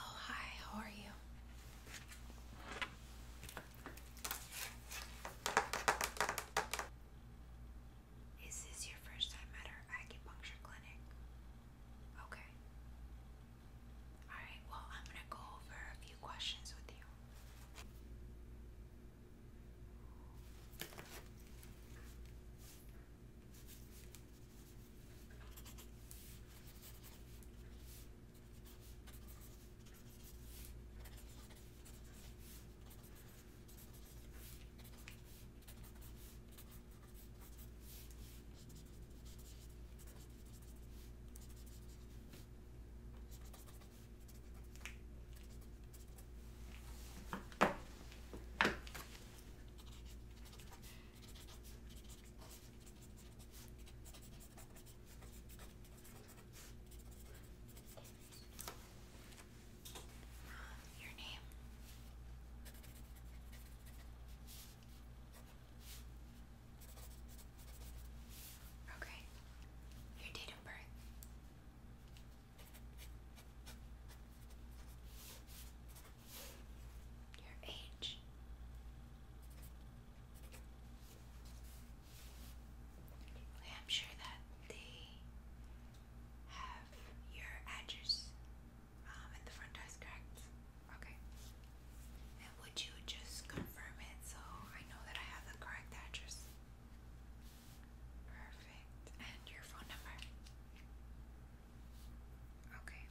Oh, hi, how are you? Is this your first time at our acupuncture clinic? Okay. Alright, well, I'm going to go over a few questions with you. Your name. Okay. Your date of birth. Your age. I'm sure that they have your address um, and the front door correct. Okay. And would you just confirm it so I know that I have the correct address? Perfect. And your phone number? Okay.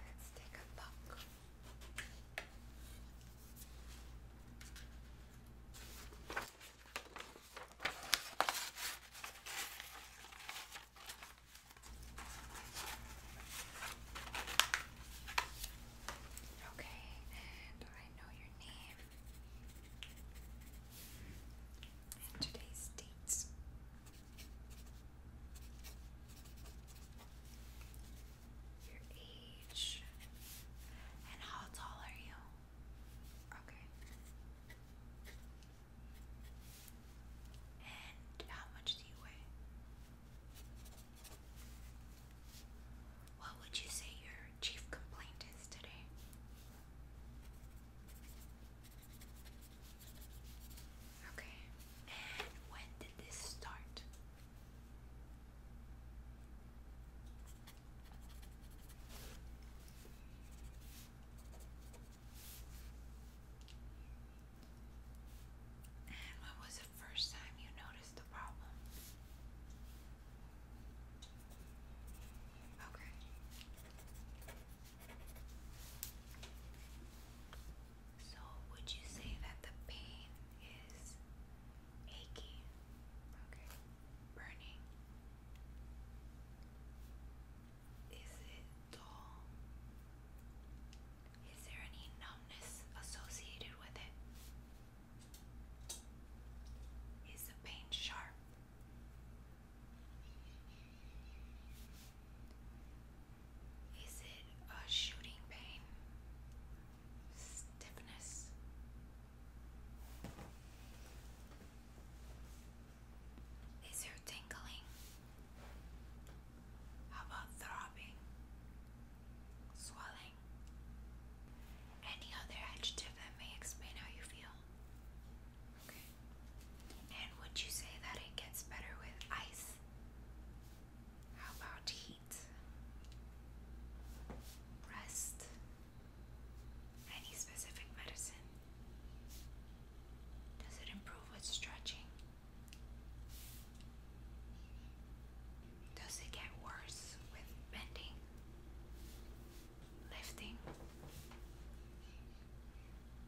Let's take a look. Okay, and I know your name and today's dates. Your age and how tall are you? Okay. And how much do you weigh? What would you say your chief complaint is today? Okay. And when did this start? And when was the first time you noticed the problem? Okay. So, would you say that the pain is achy? Okay burning? Is it dull? Is there any numbness associated with it? Is the pain sharp? Is it a shooting pain? Stiffness? Is your tingling? How about throbbing? Swelling? Any other adjective that may explain how you feel? And would you say that it gets better with ice? How about heat? Rest? Any specific medicine? Does it improve with stretching? Does it get worse with bending? Lifting?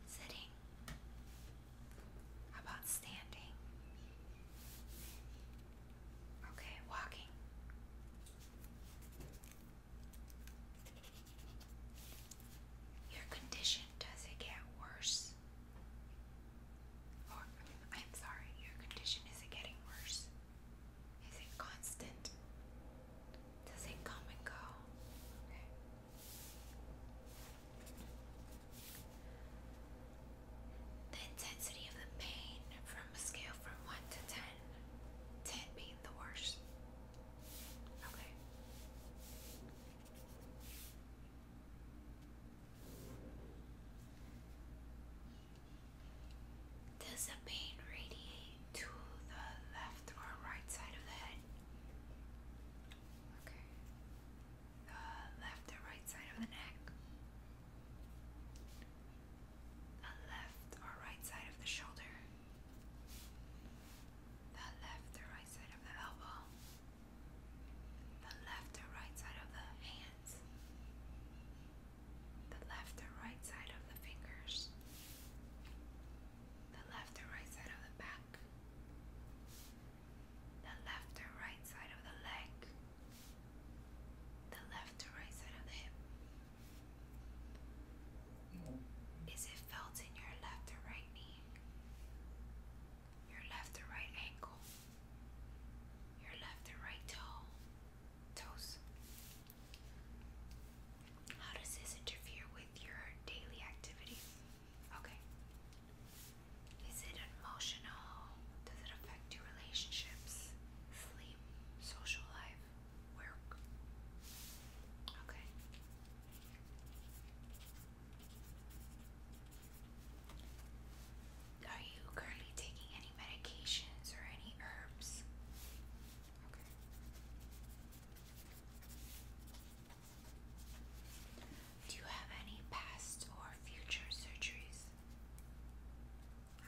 Sitting? about standing? Okay, walking. Your condition does it get worse? Or I'm sorry, your condition is it getting worse? Is it constant? Does it come and go? The intensity of the pain from a scale from 1 to 10 10 being the worst. Okay. Does the pain radiate to the left or right side of the head? Okay. The left or right side of the neck the left or right side of the shoulder, the left or right side of the elbow, the left or right side of the hands, the left or right side of the fingers, the left or right side of the back, the left or right side of the leg. The left to right side of the hip, is it felt in your left or right knee? Your left or right ankle? Your left or right toe? Toes? How does this interfere with your daily activity? Okay. Is it emotional? Does it affect your relationships, sleep, social life? work. Okay. Are you currently taking any medications or any herbs? Okay. Do you have any past or future surgeries?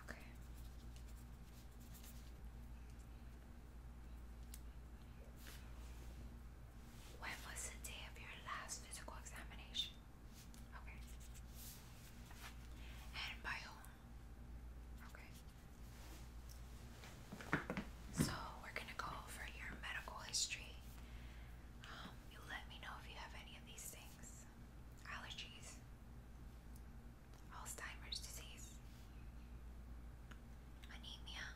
Okay. When was the day of your last physical examination? Okay. And by Okay. So we're gonna go over your medical history. Um, you let me know if you have any of these things. Allergies, Alzheimer's disease, anemia,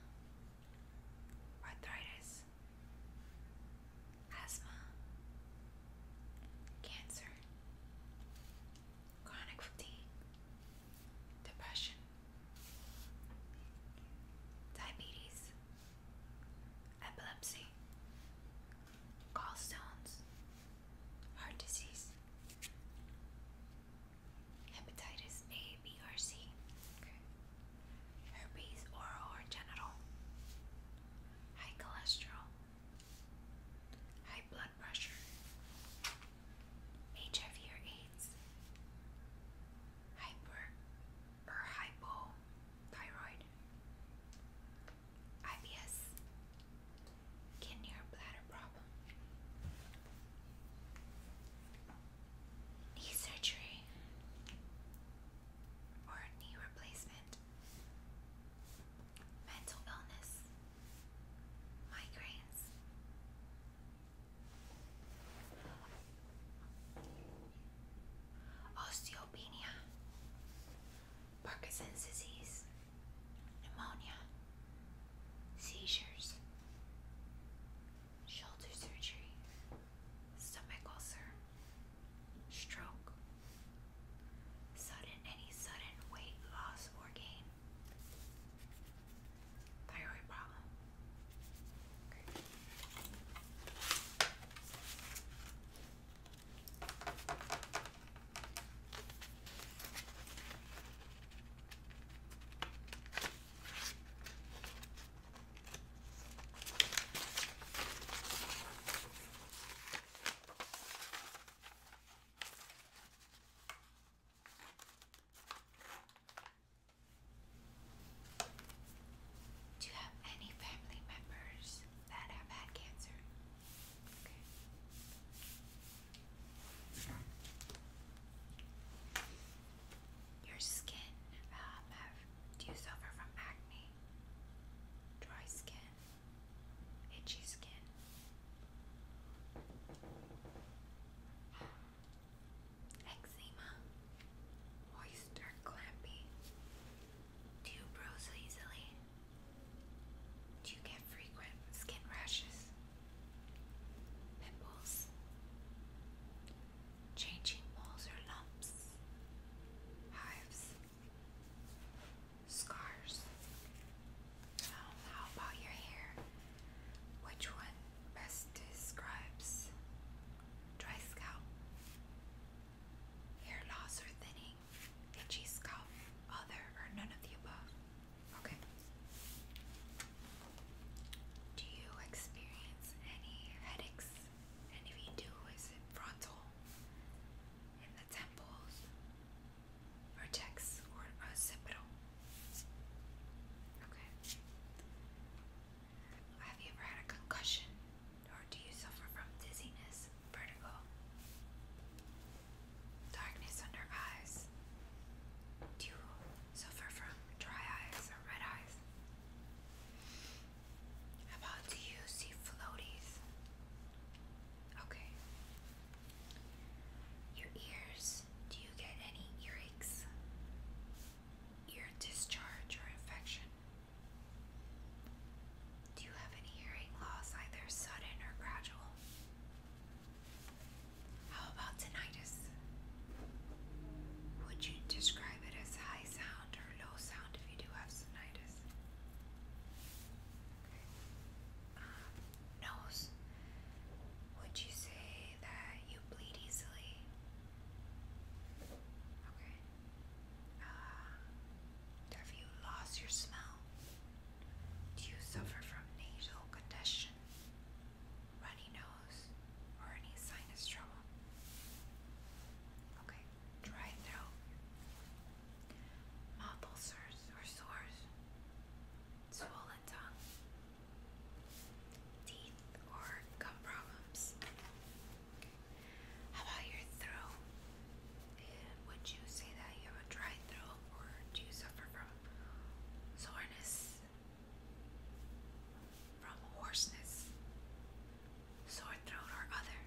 arthritis, asthma, cancer, chronic fatigue, depression, diabetes, epilepsy, gallstones, heart disease, hepatitis A, B, or C, herpes, oral or genital, high cholesterol, high blood pressure, HIV or AIDS, hyper or hypo thyroid, IBS, kidney or bladder problem, knee surgery, or knee replacement, mental illness, migraines. Osteopenia, Parkinson's disease, pneumonia, seizures, shoulder surgery, stomach ulcer, stroke, sudden any sudden weight loss or gain, thyroid problem. Do you have any family members that have had cancer? Your skin, um, do you suffer from acne? Dry skin? Itchy skin? Eczema? Moist or Do you bruise easily? Do you get frequent skin rashes, pimples, changing moles or lumps, hives, scars? Um, how about your hair? Which one best describes dry scalp, hair loss or thinning, itchy scalp, other, or none of the above? Okay. Do you experience any headaches? And if you do, is it frontal, in the temples, vertex, or occipital? Okay. Have you ever had a concussion, or do you suffer from dizziness, vertical. Darkness under eyes. Do you suffer from dry eyes or red eyes? How about do you see floaties? Okay. Your ears, do you get any earaches? Ear discharge or infection? Do you have any hearing loss, either sudden or gradual? How about tinnitus? Would you describe it as high sound or low sound if you do have tinnitus? Um, nose. Would you say that you bleed easily? Okay. Ah. have you lost your smell? Do you suffer from nasal congestion, runny nose, or any sinus trouble? Okay, dry throat, mouth ulcers or sores, swollen tongue, teeth or gum problems. How about your throat? would you say that you have a dry throat or do you suffer from soreness? From hoarseness, sore throat, or other?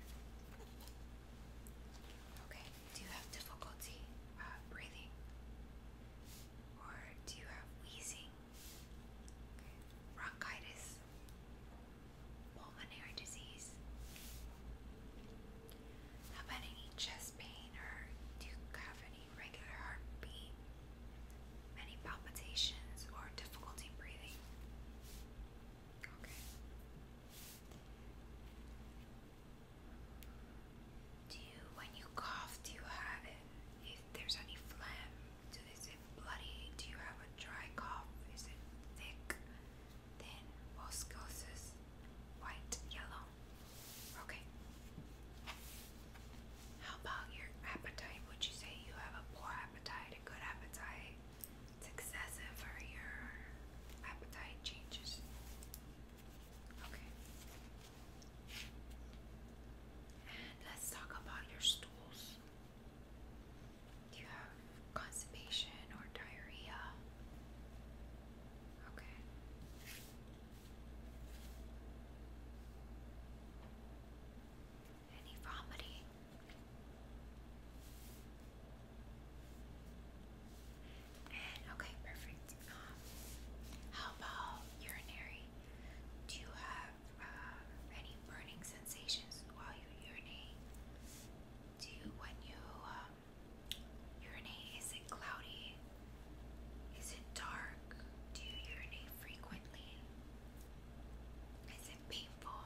Okay, do you have difficulty uh, breathing? Or do you have wheezing? Bronchitis? pulmonary disease? about any chest pain or do you have any regular heartbeat? Many palpitations or difficulty breathing? Okay. Do you, when you cough, do you have it? If there's any phlegm, do, it bloody? Do you have a dry cough? Is it thick? Then Boscosus white yellow. Okay. How about your appetite? Would you say you have a poor appetite, a good appetite? excessive or your appetite changes? Okay. And let's talk about your stools. Do you have constipation or diarrhea? Okay. Any vomiting? And okay, perfect. Um, how about urinary? Do you have uh, any burning sensations while you urinate? do when you um, urinate, is it cloudy? Is it dark? Do you urinate frequently? Is it painful?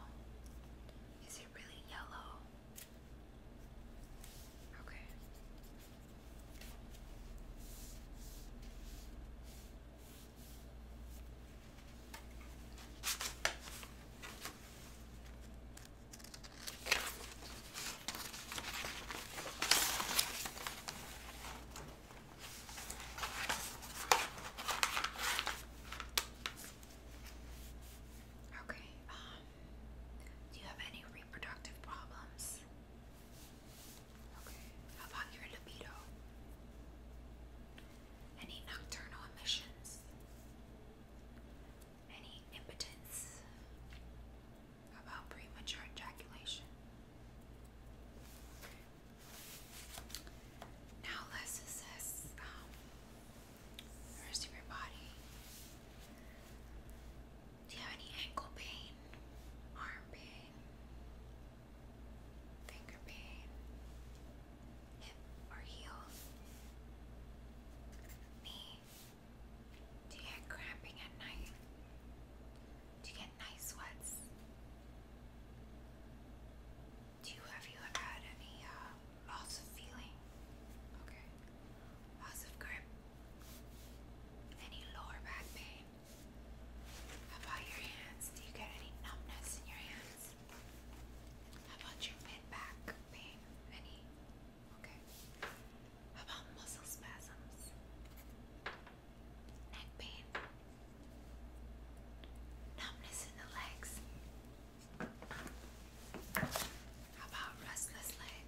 Is it really yellow? Okay. Okay, um, do you have any reproductive problems? Okay, about your libido? Any nocturnal emissions? Any impotence about premature ejaculation? Now let's assess um, the rest of your body. Do you have any ankle pain, arm pain, finger pain, or heel. Knee. Do you get cramping at night? Do you get night sweats? Do you have you had any uh, loss of feeling? Okay. Loss of grip? Any lower back pain? How about your hands? Do you get any numbness in your hands? yes. How about your mid back pain? Any? Okay. How about muscle spasms? Neck pain? Numbness in the legs? How about restless leg?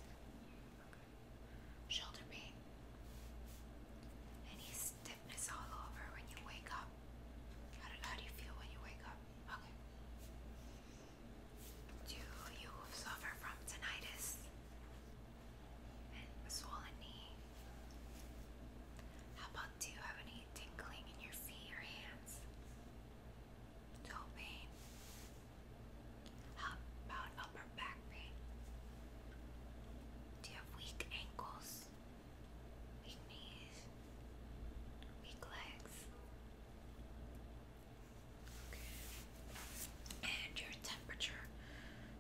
Shoulder pain? Any stiffness all over when you wake up? How do, how do you feel when you wake up? Okay. Do you suffer from tinnitus and swollen knee? How about do you have any tingling in your feet or hands? Toe pain? How about upper back pain? Do you have weak ankles? Weak knees? weak legs. Okay. And your temperature.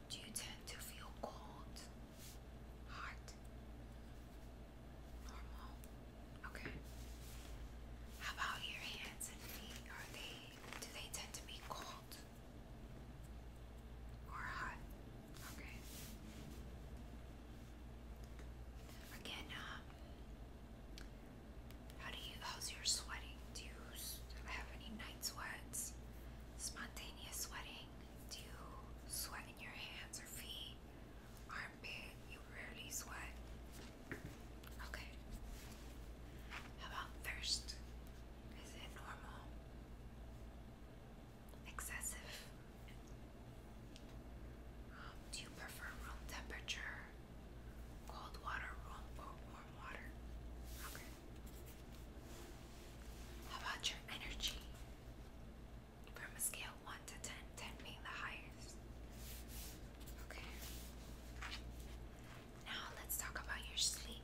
Do you tend to feel cold? Hot? Normal? Okay. How about your hands and feet? Are they do they tend to be cold? Or hot? Okay. Again, um, how do you? How's your sweating? Do you have any night sweats? Spontaneous sweating? Do you sweat in your hands or feet? Armpit? You rarely sweat. Okay. How about thirst? Is it normal? Excessive? Um, do you prefer room temperature, cold water room, or warm water? Okay. How about your energy? From a scale 1 to 10, being the highest. Okay. Now let's talk about your sleep.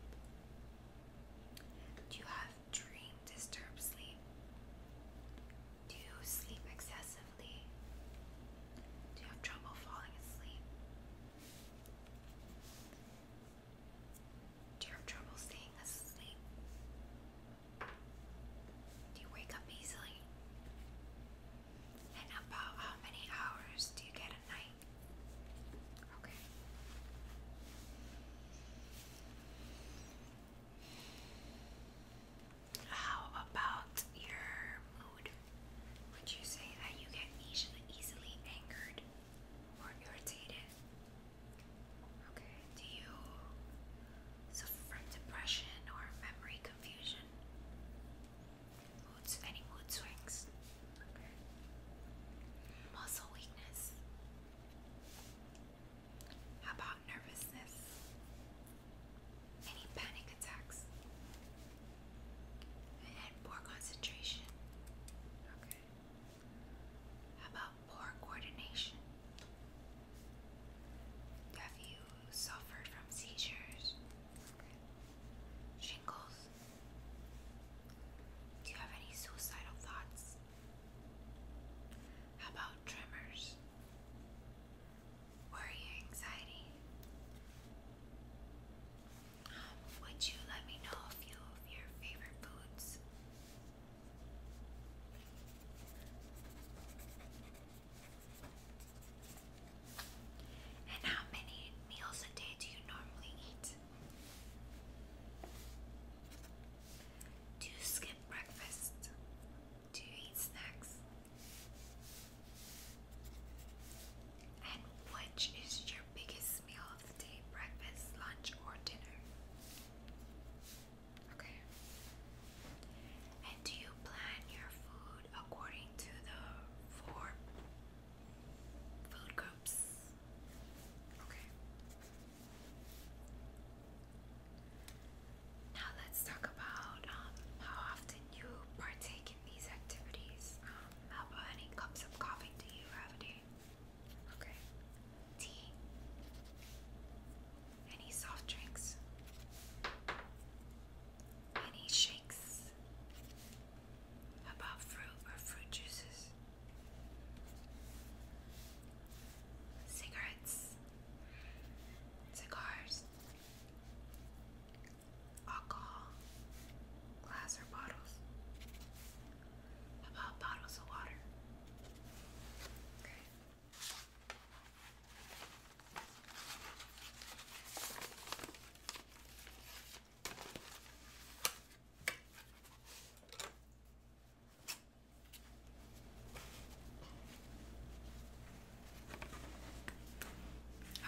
Do you have dream disturbed sleep? Do you sleep excessively? Do you have trouble falling asleep? Do you have trouble staying asleep? Do you wake up easily? And about how many hours do you get a night? Okay. How about your mood? Would you say that you get easily, easily angered or irritated? Okay. Do you suffer from depression or memory confusion? any mood swings? Muscle weakness. How about nervousness? Any panic attacks? And poor concentration. Okay. How about poor coordination? Have you suffered from seizures? Shingles? Do you have any suicidal thoughts? How about tremors? worry or anxiety? Um, would you let me know a few of your favorite foods? And how many meals a day do you normally eat? Do you skip breakfast? Do you eat snacks? And which is your biggest meal of the day? Breakfast, lunch, or dinner? Okay. And do you plan your food according to the four food groups? Okay. Now let's talk about um, how often you partake in these activities. Um, about any cups of coffee do you have a day? Okay. Tea? Any soft drinks? Any shakes? about fruit or fruit juices? Cigarettes? cigars, alcohol, glass or bottles, about bottles of water. Okay.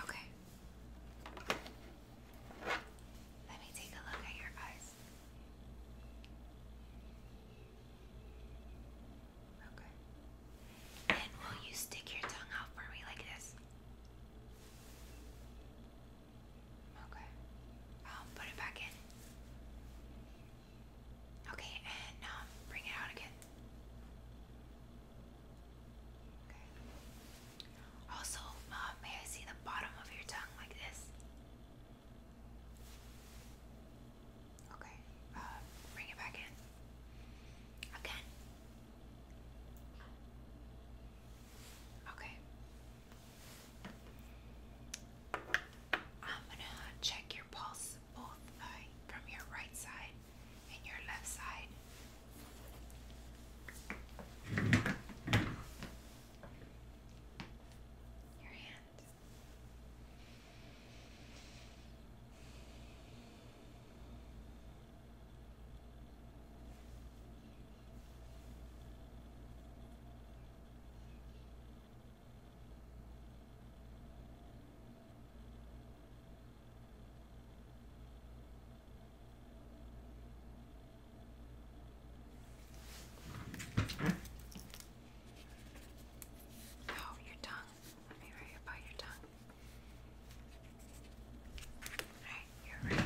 Okay. Let me take a look at your eyes. Okay. And will you stick your tongue out for me like this? Okay. Um, put it back in. Okay, and um, bring it out again. Okay. Also, uh, may I see the bottom of your tongue like this? Okay, uh, bring it back in. Again. Okay. I'm gonna check your pulse both by, from your right side and your left side. Your hand. Oh, your tongue. Let me about your tongue. Right, you're right.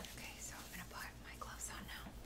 Okay, so I'm gonna put my gloves on now. Okay,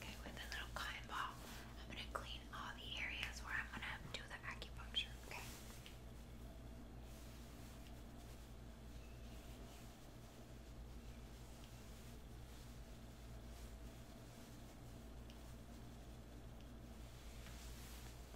Okay, with a little cotton ball, I'm going to clean all the areas where I'm going to do the acupuncture, okay?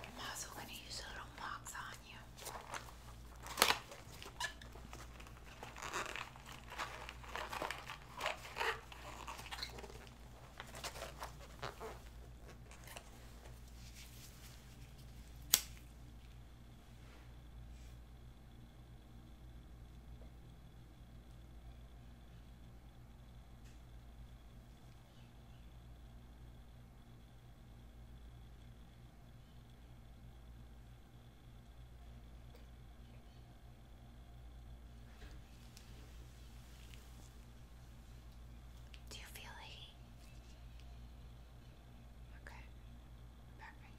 I'm also going to use little marks on you. Do you feel the Okay, perfect.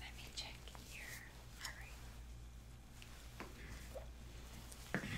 Let me check here. Alright. Okay. Right.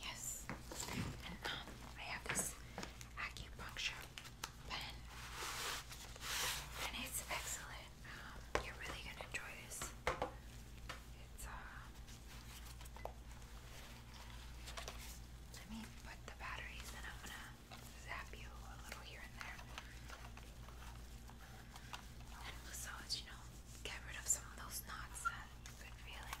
Yes, and um, I have this acupuncture pen, and it's excellent. Um, you're really gonna enjoy this. It's uh, let me put the batteries, and I'm gonna zap you a little here and there. And so you know, get rid of some of those knots that you feeling.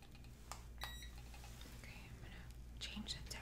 Okay, I'm gonna change the tip.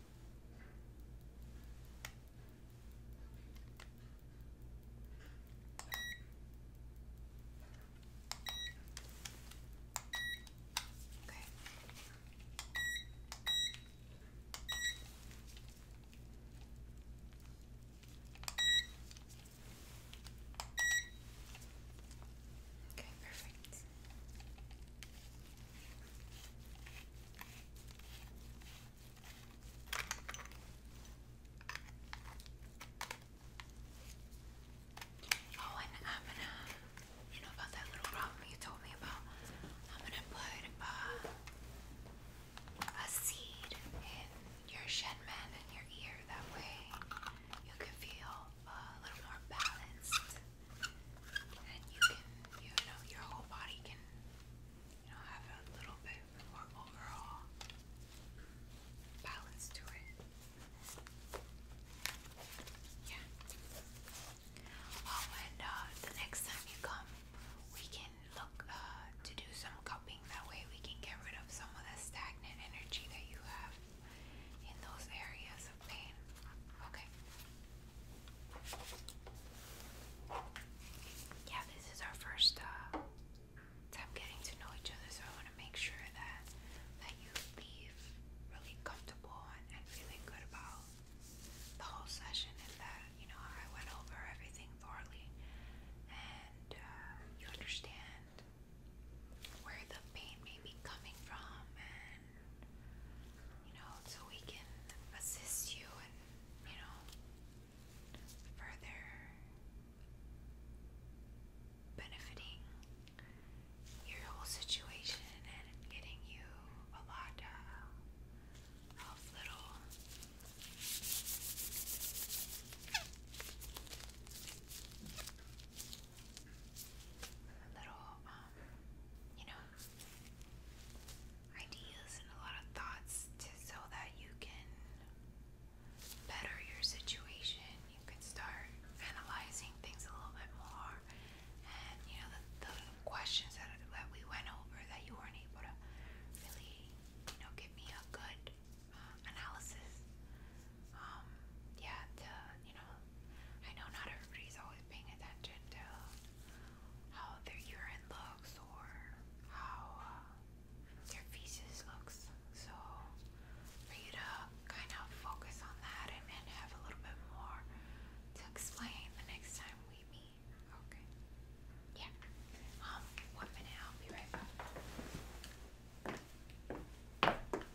Okay. Okay, perfect. Oh, and I'm gonna, you know about that little problem you told me about. I'm gonna put uh, a seed in your shen man your ear. That way you can feel uh, a little more balanced, and you can, you know, your whole body can, you know, have a little bit more overall balance to it. Yeah. Oh, and uh, the next time you come, we can look uh, to do some cupping. That way, we can get rid of some of the stagnant energy that you have in those areas of pain. Okay. Yeah, this is our first uh, time getting to know each other, so I want to make sure that that you leave really comfortable and, feeling good about the whole session, and that you know I went over everything thoroughly, and uh, you understand where the pain may be coming from, you know, so we can assist you and, you know, further benefiting your whole situation and getting you a lot of little little um, um, you know, ideas and a lot of thoughts to, so that you can better your situation. You can start analyzing things a little bit more, and you know the, the questions that that we went over that you weren't able to really, you know, give me a good uh, analysis. Um, yeah, to you know I know not everybody's always paying attention to how their urine looks or how uh, their feces looks. So for you to kind of focus on that and, and have a little bit more to explain the next time we meet. Okay. Yeah. Um, one minute, I'll be right back.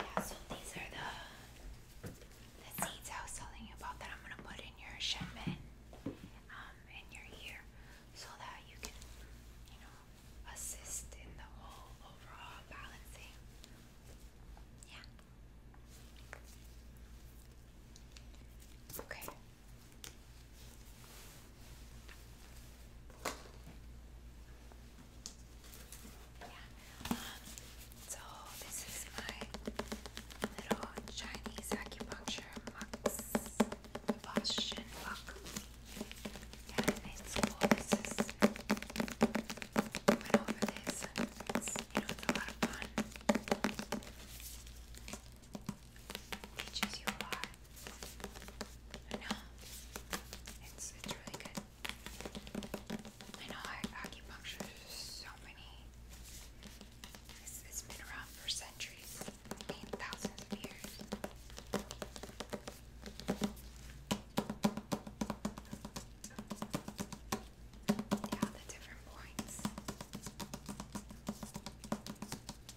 Yeah, so these are the the seeds I was telling you about that I'm gonna put in your shaman, um, in your ear, so that you can, you know, assist in the whole overall balancing. Yeah. Okay. Yeah. Um, so this is my little Chinese acupuncture mux, the Bosch Yeah, it's cool. This is, went over this you know, it's a fun. Teaches you a lot. I know. It's it's really good. I know acupuncture is so many. It's, has been around for centuries, I thousands of years. Yeah, the different points.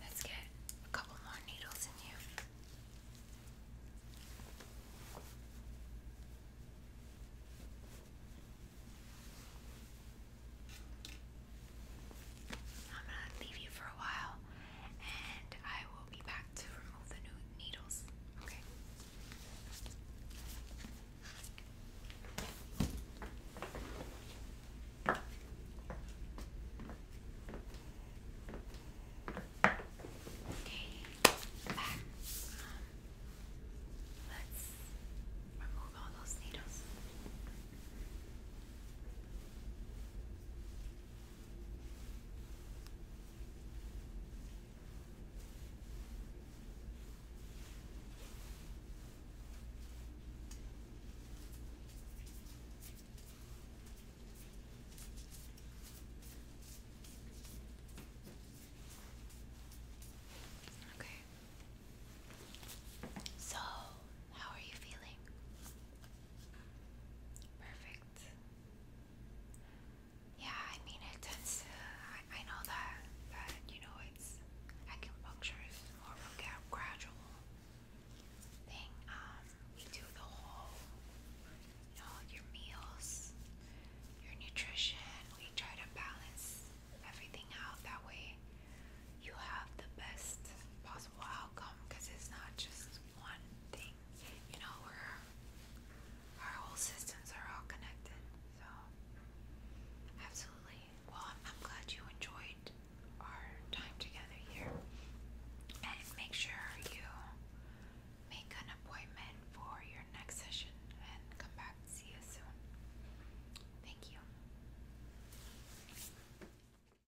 Let's get a couple more needles in you. I'm gonna leave you for a while and I will be back to remove the new needles. Okay. Okay, back. Um, let's remove all those needles. Okay. So, how are you feeling? Perfect. Yeah, I mean, it tends to. I, know that, that, you know, it's acupuncture is more of a gradual thing. Um, we do the whole, you know, your meals, your nutrition. We try to balance everything out. That way, you have the best possible outcome because it's not just one thing. You know, where our whole systems are all connected. So, absolutely. Well, I'm, glad you enjoyed our time together here. And make sure you make an appointment for your next session and come back see you soon. Thank you.